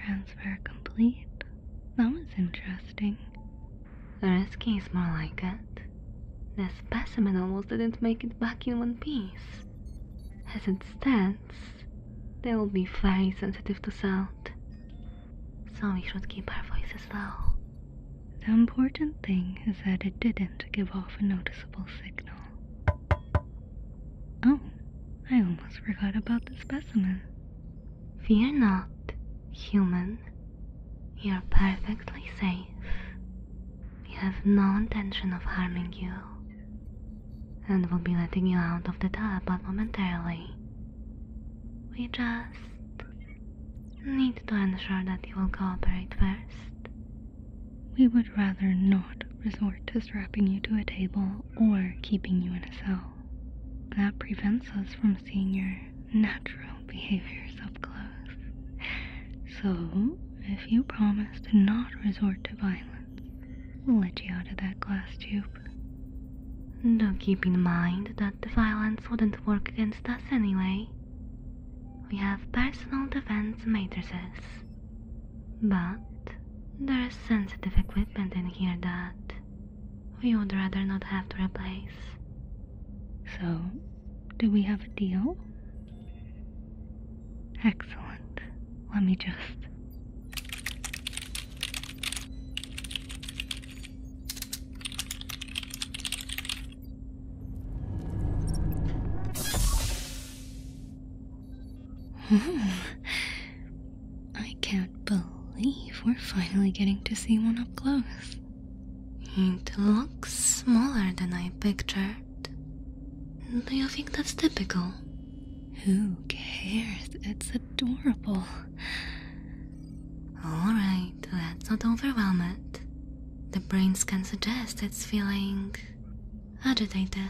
Transfer complete. That was interesting. The rescue is more like it. The specimen almost didn't make it back in one piece. As it stands, they will be very sensitive to sound. So we should keep our voices low. The important thing is that it didn't give off a noticeable signal. Oh, I almost forgot about the specimen. Fear not, human. You are perfectly safe. We have no intention of harming you, and will be letting you out of the tub but momentarily. We just need to ensure that you will cooperate first. We would rather not resort to strapping you to a table or keeping you in a cell. That prevents us from seeing your natural behaviors up close. So, if you promise to not resort to violence, we'll let you out of that glass tube. Do keep in mind that the violence wouldn't work against us anyway. We have personal defense matrices. But there is sensitive equipment in here that, we would rather not have to replace. So, do we have a deal? Excellent. Let me just. I can't believe we're finally getting to see one up close. It looks smaller than I pictured. Do you think that's typical? Who cares? It's adorable. Alright, let's not overwhelm it. The brain scan suggests it's feeling agitated.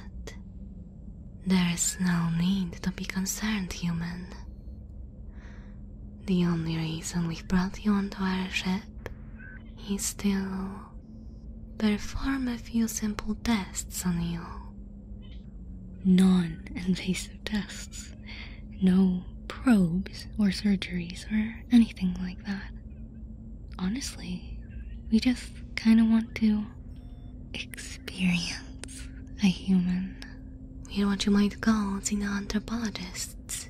There is no need to be concerned, human. The only reason we've brought you onto our ship is to perform a few simple tests on you. Non invasive tests. No probes or surgeries or anything like that. Honestly, we just kind of want to experience a human we're what you might call the anthropologists.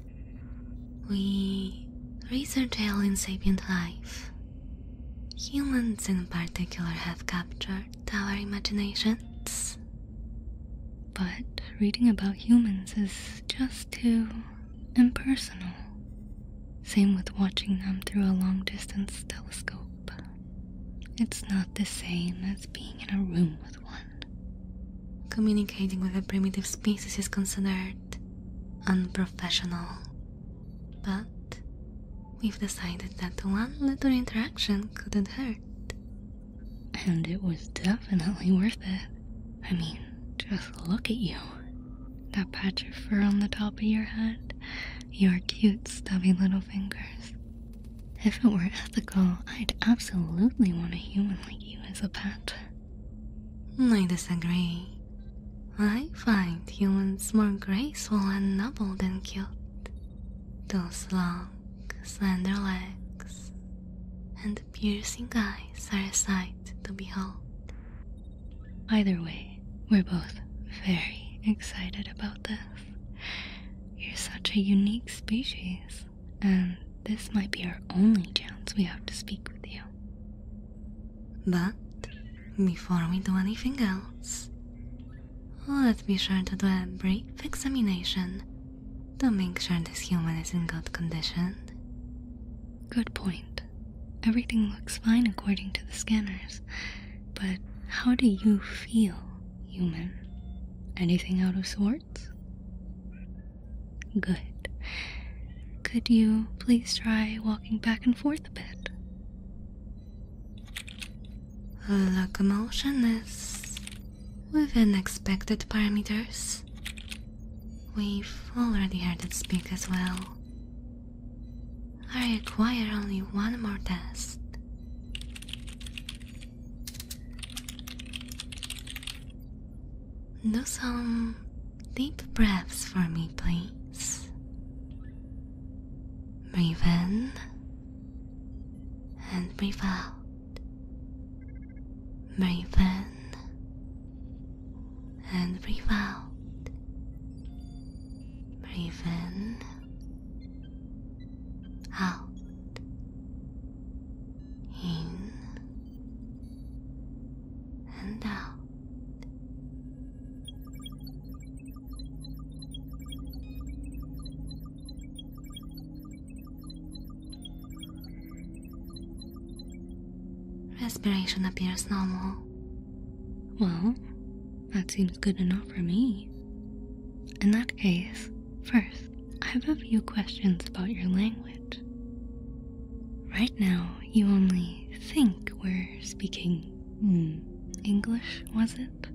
We research alien sapient life. Humans, in particular, have captured our imaginations. But reading about humans is just too impersonal. Same with watching them through a long distance telescope. It's not the same as being in a room with Communicating with a primitive species is considered unprofessional. But we've decided that one little interaction couldn't hurt. And it was definitely worth it. I mean, just look at you. That patch of fur on the top of your head, your cute stubby little fingers, if it were ethical, I'd absolutely want a human like you as a pet. I disagree. I find humans more graceful and noble than cute. Those long, slender legs and piercing eyes are a sight to behold. Either way, we're both very excited about this. You're such a unique species, and this might be our only chance we have to speak with you. But before we do anything else, let's be sure to do a brief examination to make sure this human is in good condition. Good point. Everything looks fine according to the scanners, but how do you feel human. Anything out of sorts? Good. Could you please try walking back and forth a bit? Locomotion is with unexpected parameters. We've already heard it speak as well. I require only one more test. Do some deep breaths for me, please. Breathe in and breathe out. Breathe in and breathe out. Breathe in out, in and out. Respiration appears normal. Well, that seems good enough for me. In that case, first, I have a few questions about your language. Right now, you only think we're speaking hmm, English, was it?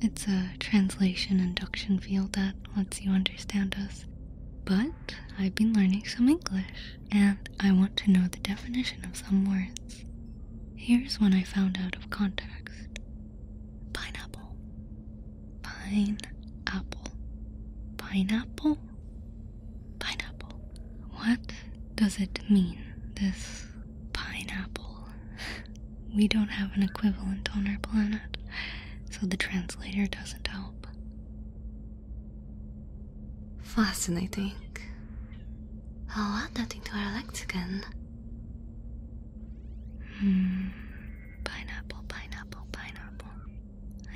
It's a translation induction field that lets you understand us. But I've been learning some English, and I want to know the definition of some words. Here's one I found out of context. Pineapple. Pineapple. Pineapple? Pineapple. What does it mean, this pineapple? We don't have an equivalent on our planet, so the translator doesn't help. Fascinating. I'll add that into our lexicon. Mm, pineapple, pineapple, pineapple.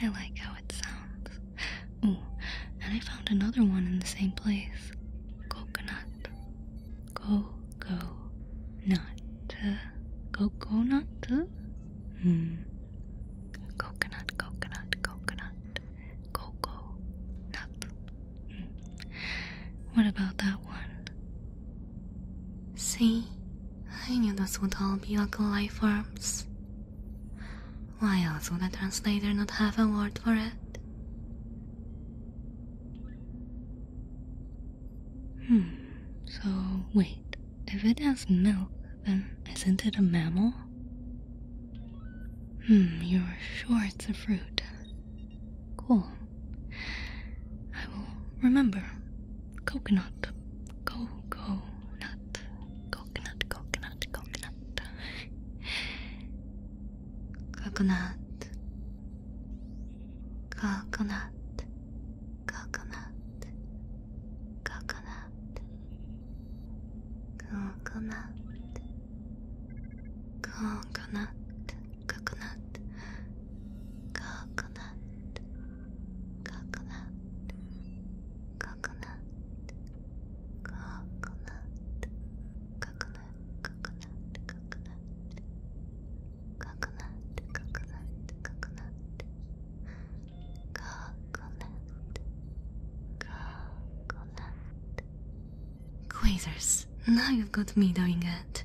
I like how it sounds. Ooh, and I found another one in the same place. Coconut. Go go nut. Coconut? Hmm. Coconut, coconut, coconut. Coco nut. Hmm. What about that one? See, I knew those would all be local life forms. Why else would a translator not have a word for it? Hmm, so wait, if it has milk, then isn't it a mammal? Hmm, you're sure it's a fruit. Cool. I will remember. Coconut. Go, nut. Coconut, coconut, coconut. Coconut. Coconut. Coconut. Coconut. Coconut. Coconut. coconut, coconut, coconut, coconut, coconut, coconut, coconut, coconut, coconut, coconut, coconut, coconut, coconut. Quasars, now you've got me doing it.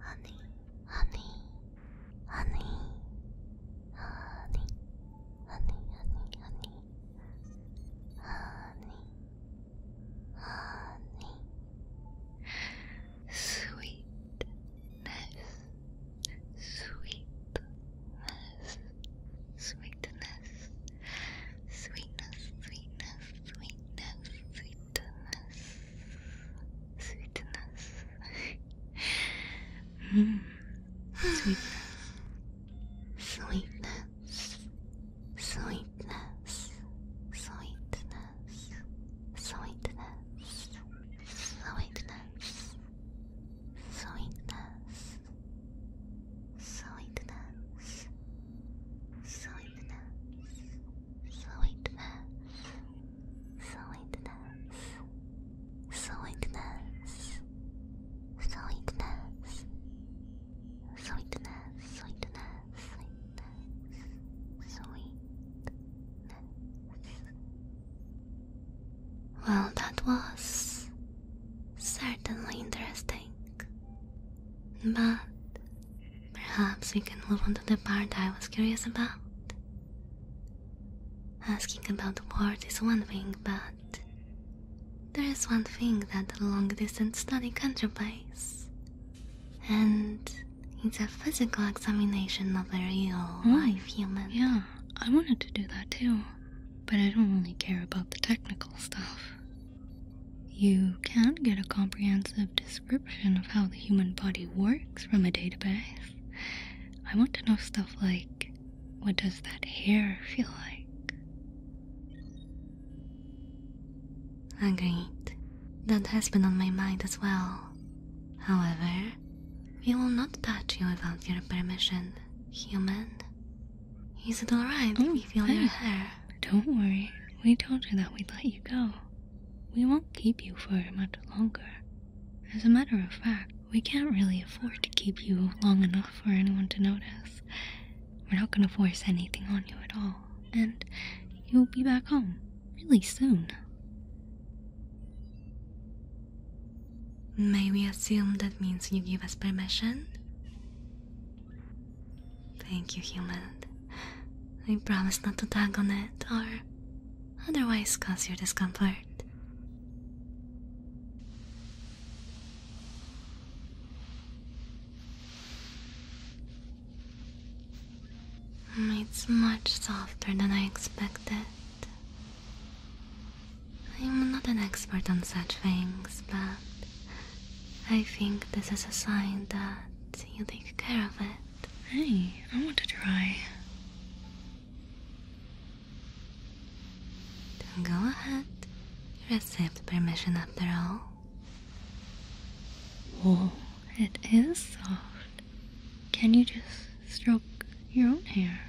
honey, honey, honey, honey, honey, honey, honey, honey, sweetness, sweetness, sweetness, sweetness, sweetness, sweetness, sweetness sweetness, sweetness, sweetness, sweetness, sweetness, sweetness, sweetness, sweetness, sweetness. Sweetness, sweetness, sweetness, sweetness, sweetness, sweetness, sweetness, sweetness, sweetness. Well, that was certainly interesting. But perhaps we can move on to the part I was curious about. Asking about the wars is one thing, but there is one thing that long distance study can't replace, and it's a physical examination of a real oh, hmm. live human. Yeah, I wanted to do that too, but I don't really care about the technical stuff. You can get a comprehensive description of how the human body works from a database. I want to know stuff like what does that hair feel like? Agreed. Ah, that has been on my mind as well. However, we will not touch you without your permission, human. Is it alright oh, if we oh, feel hey. your hair? Don't worry, we told you that we'd let you go. We won't keep you for much longer. As a matter of fact, we can't really afford to keep you long enough for anyone to notice. We're not gonna force anything on you at all, and you'll be back home really soon. May we assume that means you give us permission? Thank you, human. I promise not to tag on it or otherwise cause your discomfort. It's much softer than I expected. I'm not an expert on such things, but I think this is a sign that you take care of it. Hey, I want to try. Don't go ahead. You received permission after all. Oh, it is soft. Can you just stroke your own hair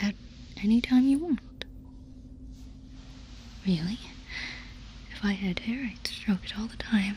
at any time you want? Really? If I had hair, I'd stroke it all the time.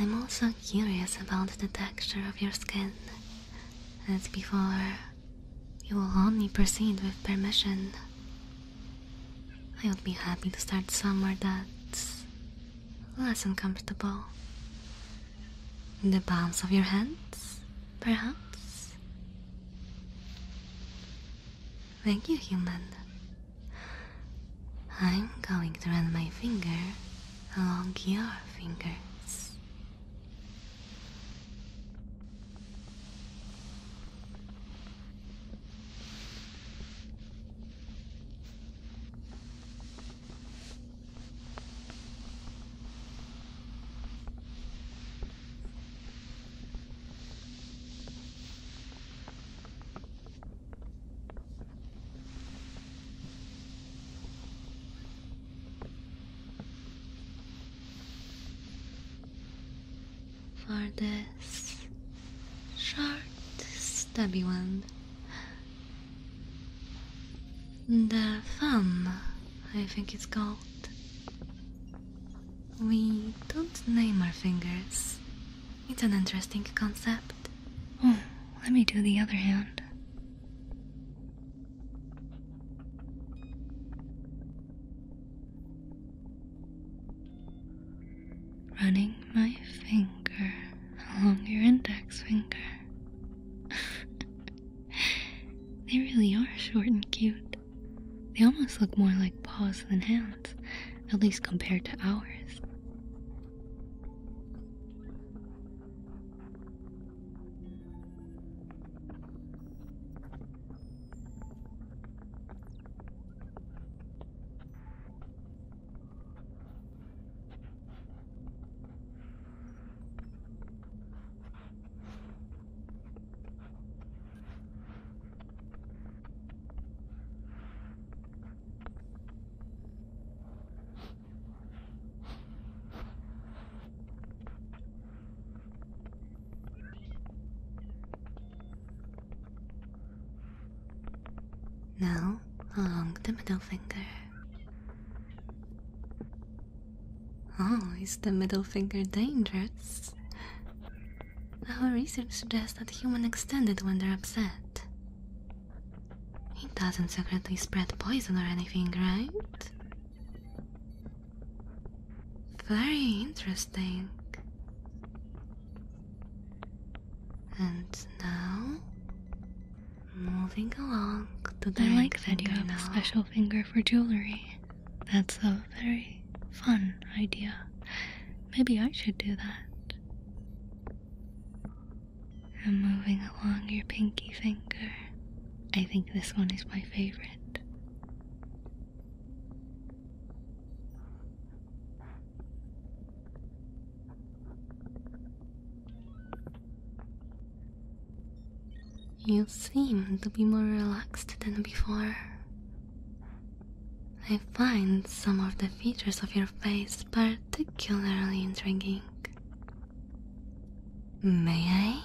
I'm also curious about the texture of your skin. As before, you will only proceed with permission. I would be happy to start somewhere that's less uncomfortable. in The palms of your hands, perhaps? Thank you, human. I'm going to run my finger along your fingers for this short stubby one. The thumb I think it's called. We don't name our fingers. It's an interesting concept. Hmm, let me do the other hand. Running my finger along your index finger. they really are short and cute. They almost look more like paws than hands, at least compared to ours. Now, along the middle finger. Oh, is the middle finger dangerous? Our research suggests that humans extend it when they're upset. It doesn't secretly spread poison or anything, right? Very interesting. And now, moving along to the I like that you have a special finger for jewelry. That's a very fun idea. Maybe I should do that. I'm moving along your pinky finger. I think this one is my favorite. You seem to be more relaxed than before. I find some of the features of your face particularly intriguing. May I?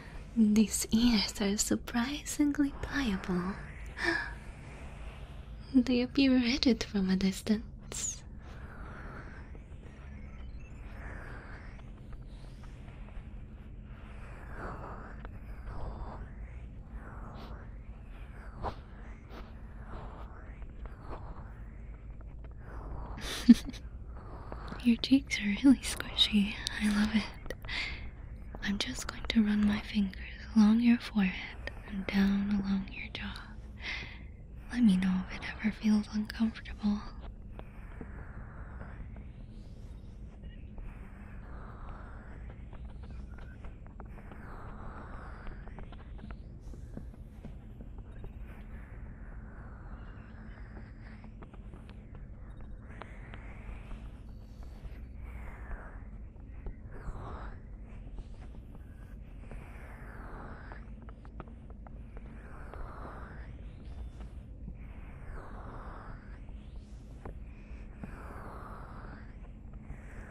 These ears are surprisingly pliable. They appear rigid from a distance. Your cheeks are really squishy. I love it. I'm just going to run my fingers along your forehead and down along your jaw. Let me know if it ever feels uncomfortable.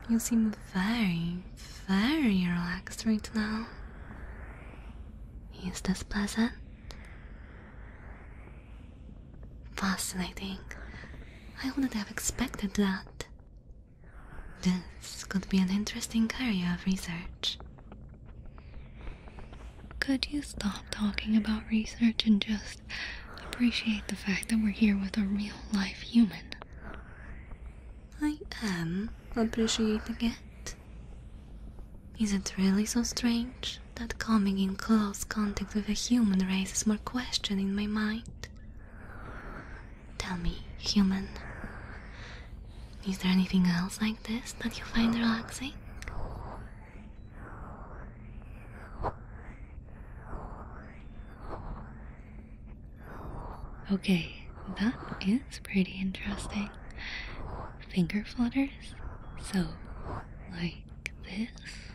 You seem very, very relaxed right now. Is this pleasant? Fascinating. I wouldn't have expected that. This could be an interesting area of research. Could you stop talking about research and just appreciate the fact that we're here with a real life human? I am appreciating it. Is it really so strange? that coming in close contact with a human raises more question in my mind. Tell me, human, is there anything else like this that you find relaxing? Okay, that is pretty interesting. Finger flutters? So, like this?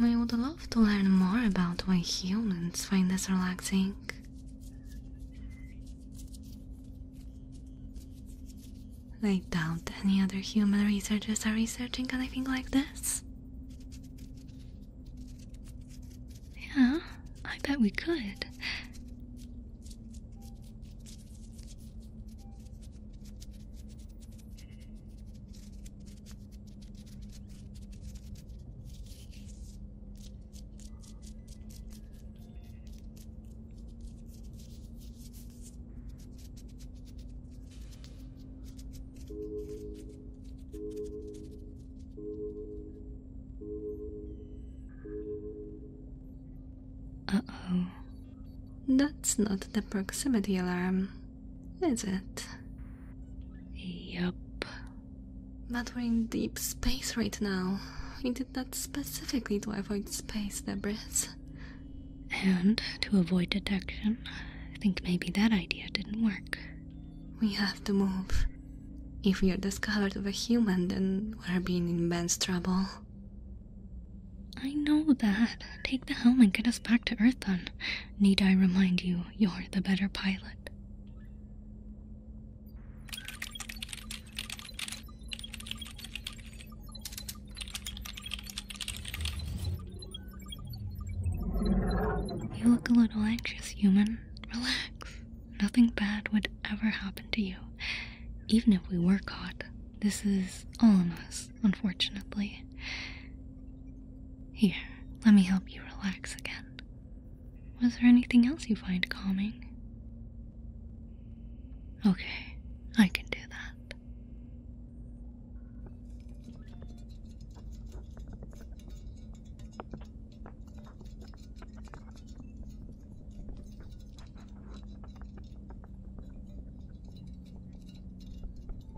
We would love to learn more about why humans find this relaxing. I doubt any other human researchers are researching anything like this. Yeah, I bet we could. Uh oh. That's not the proximity alarm is it? Yup. But we're in deep space right now. We did that specifically to avoid space debris. And to avoid detection. I think maybe that idea didn't work. We have to move. If we are discovered with a human, then we're being in immense trouble. I know that. Take the helm and get us back to Earth then. Need I remind you, you're the better pilot. You look a little anxious, human. Relax. Nothing bad would ever happen to you. Even if we were caught, this is all on us unfortunately. Here, let me help you relax again. Was there anything else you find calming? Okay, I can do that.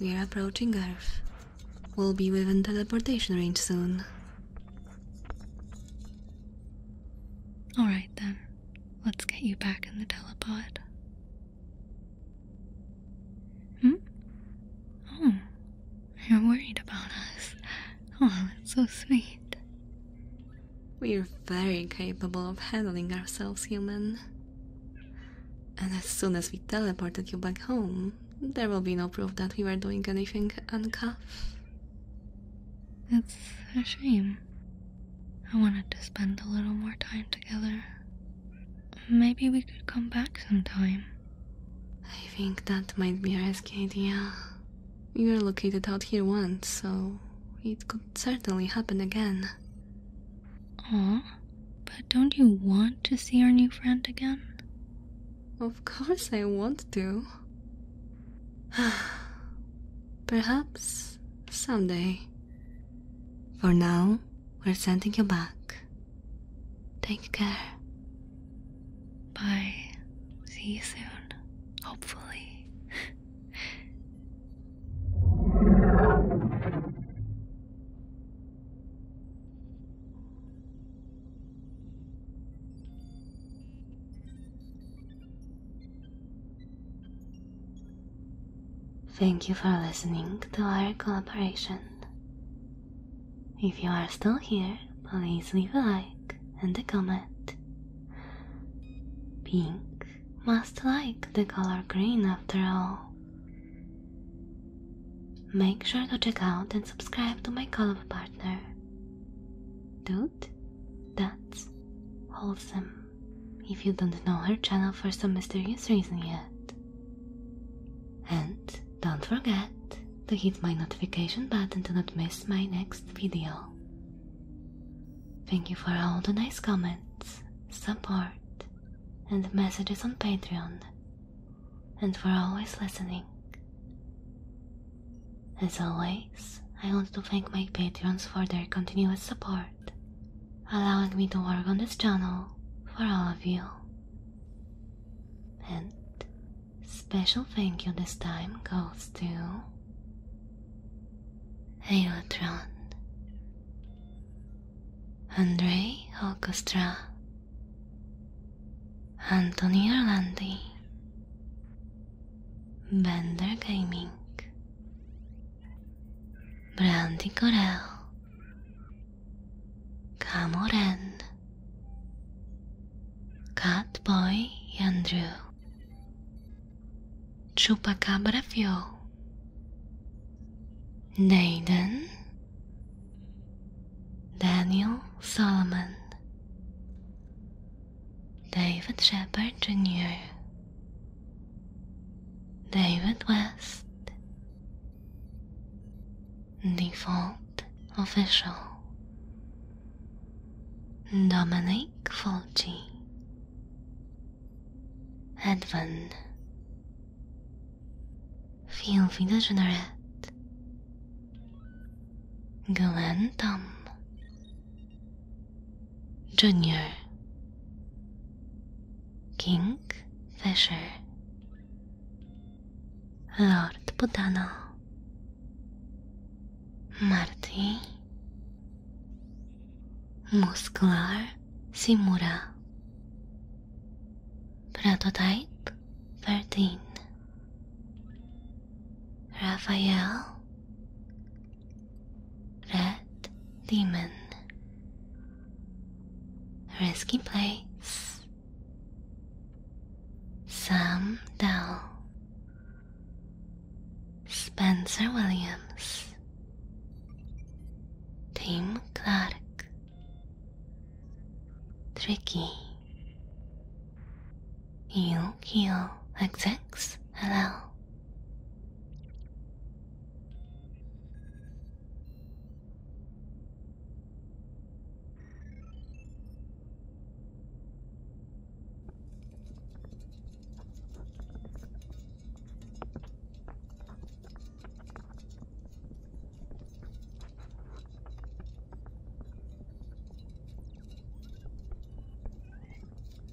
We are approaching Earth. We'll be within teleportation range soon. Alright then. Let's get you back in the telepod. Hmm? Oh, you're worried about us. Oh, it's so sweet. We're very capable of handling ourselves, human. And as soon as we teleported you back home, there will be no proof that we were doing anything uncuffed. It's a shame. I wanted to spend a little more time together. Maybe we could come back sometime. I think that might be a risky idea. We were located out here once, so it could certainly happen again. Aw, but don't you want to see our new friend again? Of course I want to. Perhaps someday. For now, we're sending you back. Take care. Bye. See you soon. Hopefully. Thank you for listening to our collaboration. If you are still here, please leave a like and a comment. Pink must like the color green after all. Make sure to check out and subscribe to my collab partner. Do that's wholesome. If you don't know her channel for some mysterious reason yet. And don't forget to hit my notification button to not miss my next video. Thank you for all the nice comments, support, and messages on Patreon, and for always listening. As always, I want to thank my patrons for their continuous support, allowing me to work on this channel for all of you. And special thank you this time goes to Aerotron, Andrei Orchestra, Anthony Orlandi, Bender Gaming, Brandy Corel, Camoren, Catboy Andrew, Chupacabra Fuel, Naden, Daniel Solomon, David Shepard Jr., David West, Default Official, Dominic Fulci, Edwin, Filthy Degenerate, Glenn Tom. Jr. King Fisher, Lord Budano, Marty, Muscular Simura, Prototype 13, Raphael Red Demon. risky place. Sam Dell. Spencer Williams. Tim Clark. Tricky. Yukio execs Hello.